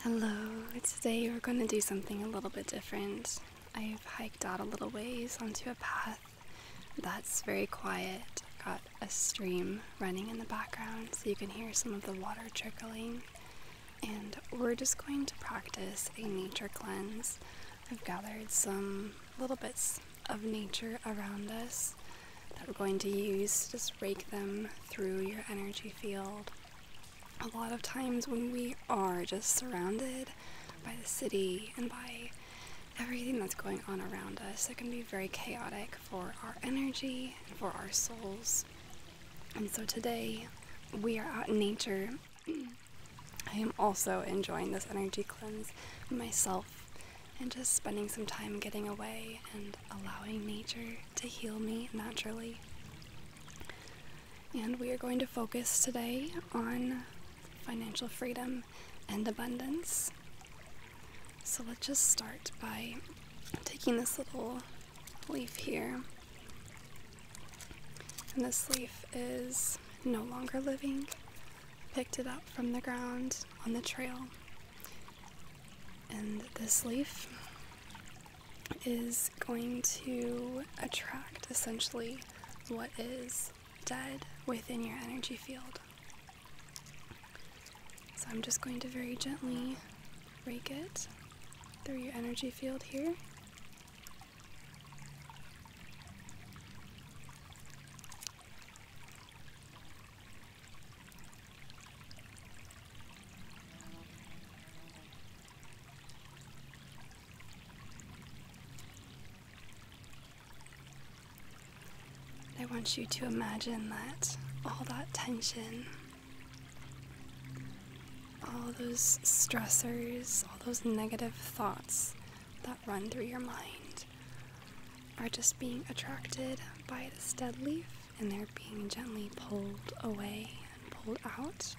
Hello, today we're going to do something a little bit different. I've hiked out a little ways onto a path that's very quiet. Got a stream running in the background so you can hear some of the water trickling and we're just going to practice a nature cleanse. I've gathered some little bits of nature around us that we're going to use, just rake them through your energy field. A lot of times when we are just surrounded by the city and by everything that's going on around us, it can be very chaotic for our energy and for our souls. And so today we are out in nature. I am also enjoying this energy cleanse myself and just spending some time getting away and allowing nature to heal me naturally. And we are going to focus today on financial freedom and abundance. So let's just start by taking this little leaf here. And this leaf is no longer living. Picked it up from the ground on the trail. And this leaf is going to attract essentially what is dead within your energy field. So I'm just going to very gently rake it through your energy field here. I want you to imagine that all that tension all those stressors, all those negative thoughts that run through your mind are just being attracted by this dead leaf and they're being gently pulled away and pulled out.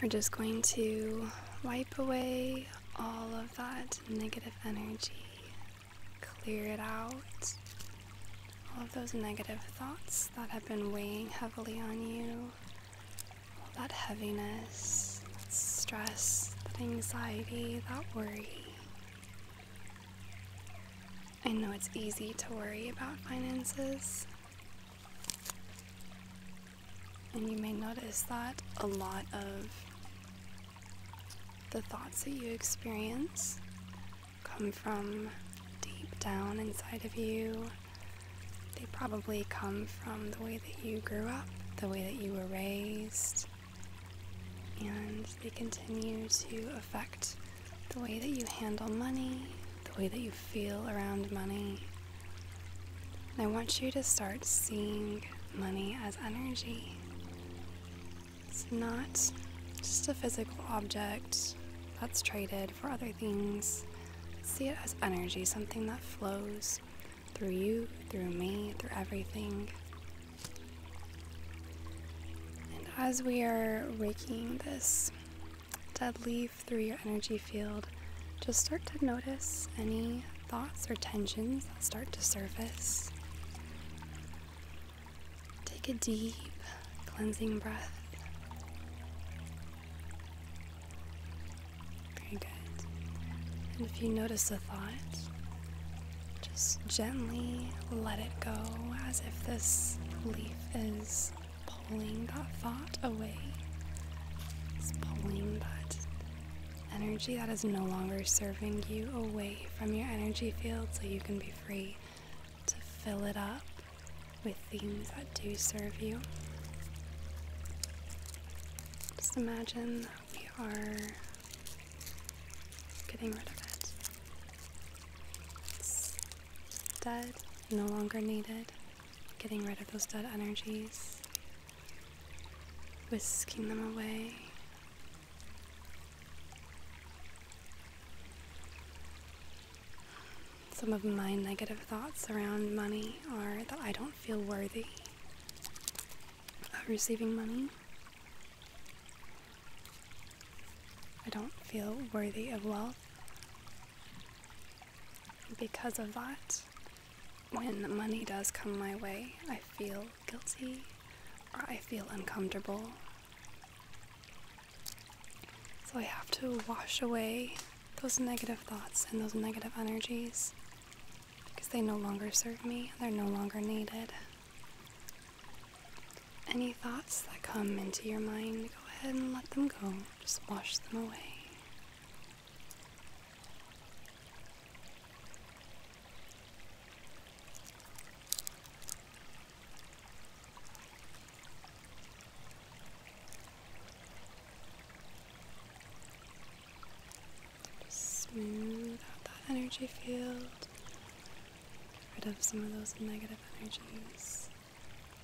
We're just going to wipe away all of that negative energy clear it out. All of those negative thoughts that have been weighing heavily on you, all that heaviness, that stress, that anxiety, that worry. I know it's easy to worry about finances. And you may notice that a lot of the thoughts that you experience come from deep down inside of you. They probably come from the way that you grew up, the way that you were raised, and they continue to affect the way that you handle money, the way that you feel around money. I want you to start seeing money as energy. It's not just a physical object that's traded for other things. See it as energy, something that flows through you, through me, through everything. And as we are raking this dead leaf through your energy field, just start to notice any thoughts or tensions that start to surface. Take a deep cleansing breath. Very good. And if you notice a thought, just gently let it go as if this leaf is pulling that thought away. It's pulling that energy that is no longer serving you away from your energy field so you can be free to fill it up with things that do serve you. Just imagine that we are getting rid of it. It's dead, no longer needed. Getting rid of those dead energies, whisking them away some of my negative thoughts around money are that I don't feel worthy of receiving money. I don't feel worthy of wealth. Because of that, when money does come my way, I feel guilty or I feel uncomfortable so I have to wash away those negative thoughts and those negative energies because they no longer serve me, they're no longer needed. Any thoughts that come into your mind, go ahead and let them go. Just wash them away smooth out that energy field. Get rid of some of those negative energies.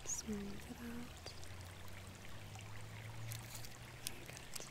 Smooth it out. Good.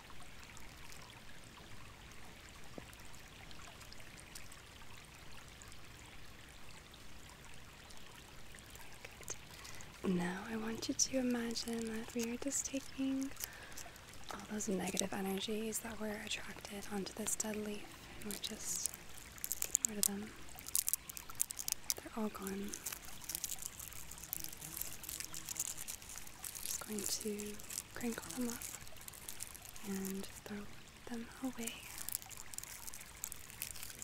Now I want you to imagine that we are just taking all those negative energies that we're attracted onto this dead leaf and we're just getting rid of them. They're all gone. I'm just going to crinkle them up, and throw them away.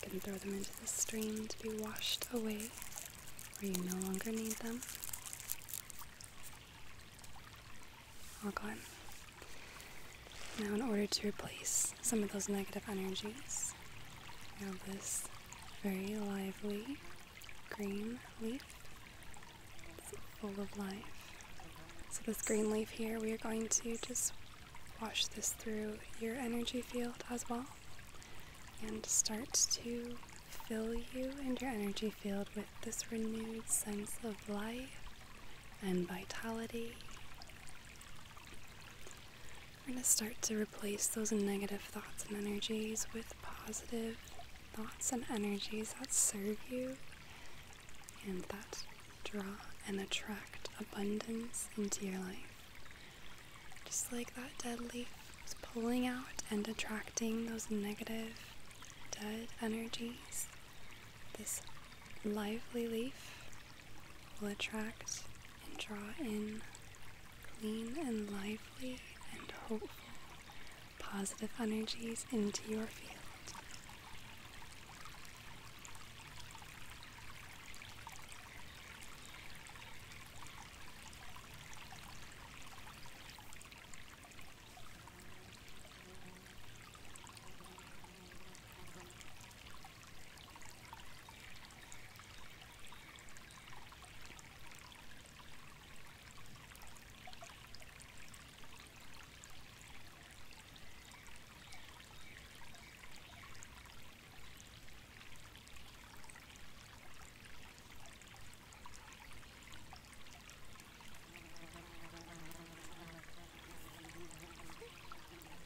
You can throw them into the stream to be washed away where you no longer need them. All gone. Now, in order to replace some of those negative energies, we have this very lively green leaf. full of life. So, this green leaf here, we are going to just wash this through your energy field as well and start to fill you and your energy field with this renewed sense of life and vitality. We're going to start to replace those negative thoughts and energies with positive thoughts and energies that serve you and that draw and attract abundance into your life. Just like that dead leaf was pulling out and attracting those negative, dead energies, this lively leaf will attract and draw in clean and lively and hopeful positive energies into your field.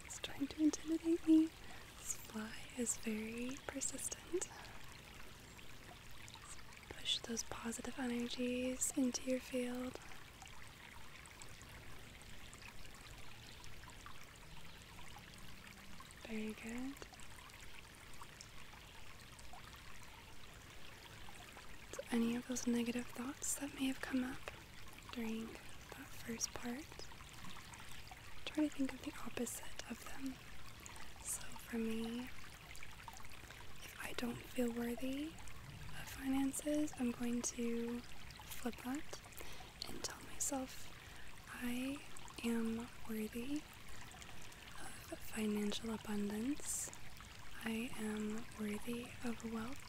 It's trying to intimidate me. This fly is very persistent push those positive energies into your field. Very good. any of those negative thoughts that may have come up during that first part, try to think of the opposite of them. So for me, if I don't feel worthy of finances, I'm going to flip that and tell myself I am worthy of financial abundance. I am worthy of wealth.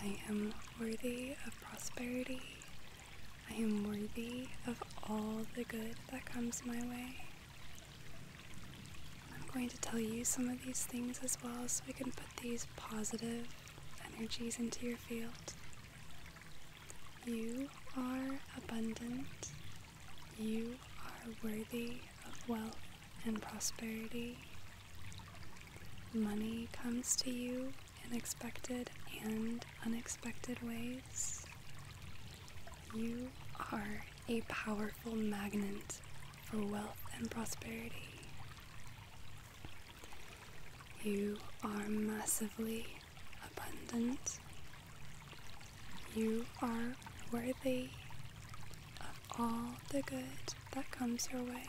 I am worthy of prosperity. I am worthy of all the good that comes my way. I'm going to tell you some of these things as well so we can put these positive energies into your field. You are abundant. You are worthy of wealth and prosperity. Money comes to you in expected and unexpected ways. You are a powerful magnet for wealth and prosperity. You are massively abundant. You are worthy of all the good that comes your way.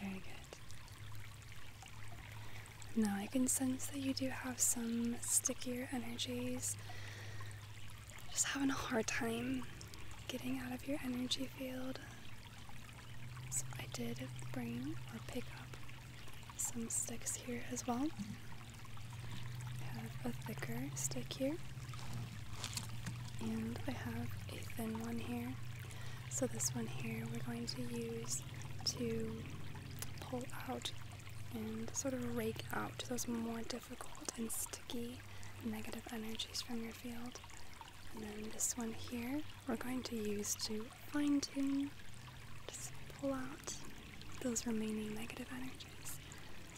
Very good. Now I can sense that you do have some stickier energies. Just having a hard time getting out of your energy field. So I did bring or pick up some sticks here as well. I have a thicker stick here and I have a thin one here. So this one here we're going to use to pull out and sort of rake out those more difficult and sticky negative energies from your field. And then this one here we're going to use to fine tune, just pull out those remaining negative energies.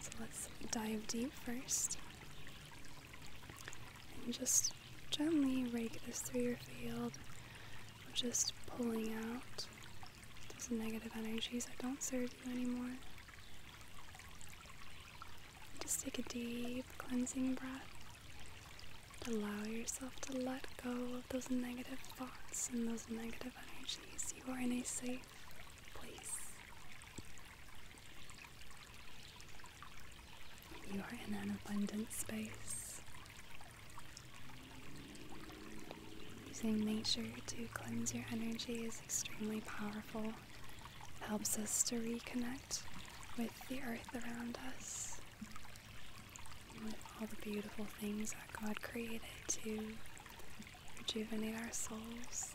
So let's dive deep first. And just gently rake this through your field, just pulling out those negative energies that don't serve you anymore. Just take a deep cleansing breath. Allow yourself to let go of those negative thoughts and those negative energies. You are in a safe place. You are in an abundant space. Using nature to cleanse your energy is extremely powerful. It helps us to reconnect with the earth around us with all the beautiful things that God created to rejuvenate our souls.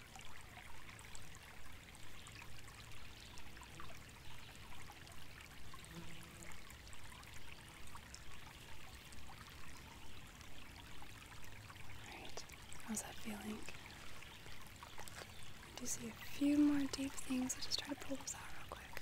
Alright, how's that feeling? Do you see a few more deep things. I'll just try to pull those out real quick.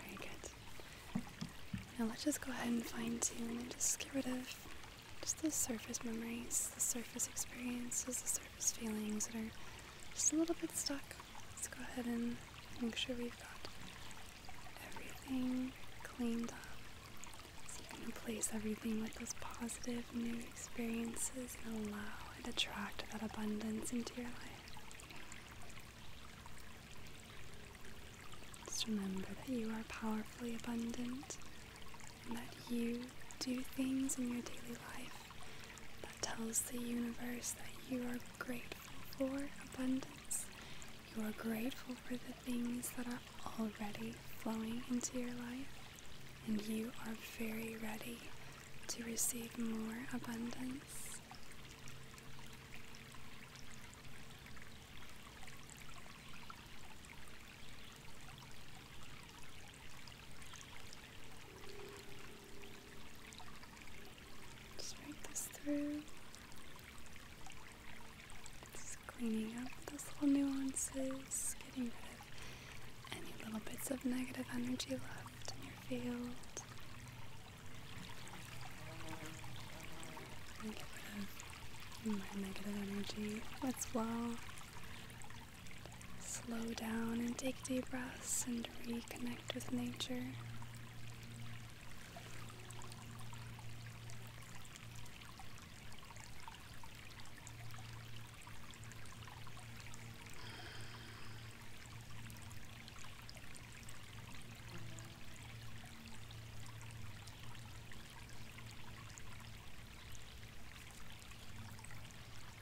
Very good. Now let's just go ahead and fine tune and just get rid of just the surface memories, the surface experiences, the surface feelings that are just a little bit stuck. Let's go ahead and make sure we've got everything cleaned up. So you can replace everything with those positive new experiences and allow and attract that abundance into your life. Just remember that you are powerfully abundant and that you do things in your daily life that tells the universe that you are grateful for abundance. You are grateful for the things that are already flowing into your life, and you are very ready to receive more abundance. Just break this through. Just cleaning up those little nuances, getting rid of any little bits of negative energy left in your field. And get rid of my negative energy as well. Slow down and take deep breaths and reconnect with nature.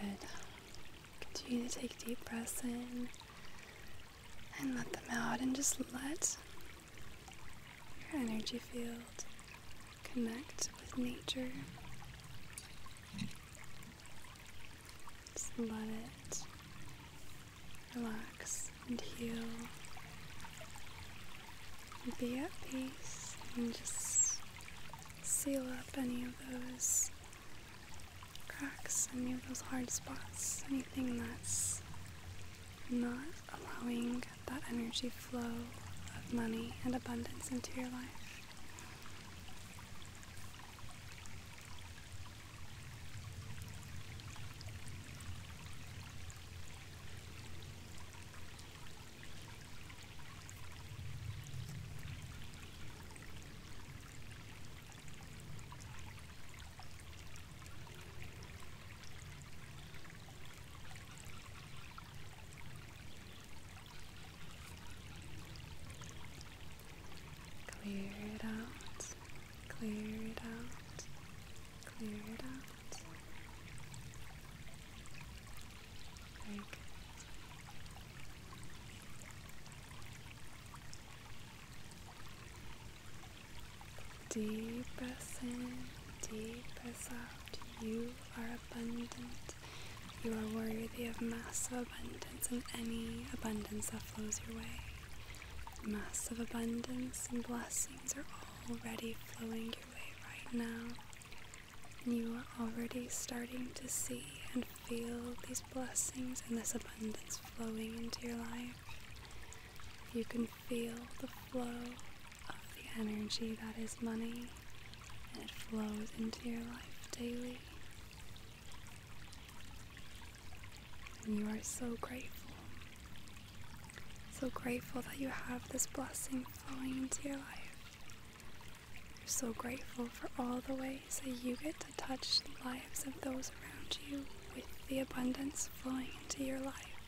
Very good. Continue to take deep breaths in and let them out, and just let your energy field connect with nature. Just let it relax and heal. Be at peace and just seal up any of those cracks, any of those hard spots, anything that's not allowing that energy flow of money and abundance into your life. Clear it out, clear it out, clear it out. Very good. Deep breath in, deep breath out. You are abundant. You are worthy of massive abundance and any abundance that flows your way. Massive abundance and blessings are already flowing your way right now. And You are already starting to see and feel these blessings and this abundance flowing into your life. You can feel the flow of the energy that is money and it flows into your life daily. And you are so grateful. So grateful that you have this blessing flowing into your life. You're so grateful for all the ways so you get to touch the lives of those around you with the abundance flowing into your life.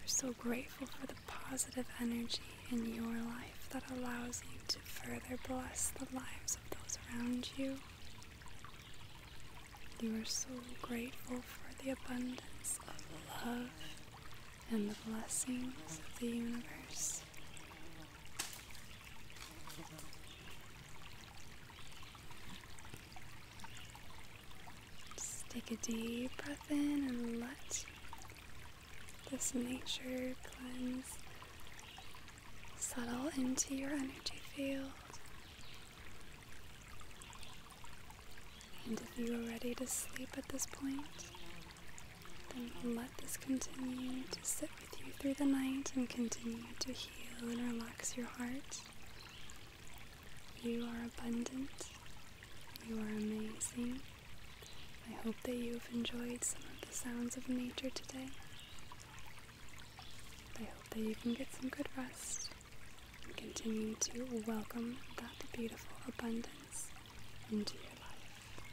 We're so grateful for the positive energy in your life that allows you to further bless the lives of those around you. You are so grateful for the abundance of love and the blessings of the universe. Just take a deep breath in and let this nature cleanse settle into your energy field. And if you are ready to sleep at this point, then let this continue to sit you through the night and continue to heal and relax your heart. You are abundant. You are amazing. I hope that you've enjoyed some of the sounds of nature today. I hope that you can get some good rest and continue to welcome that beautiful abundance into your life.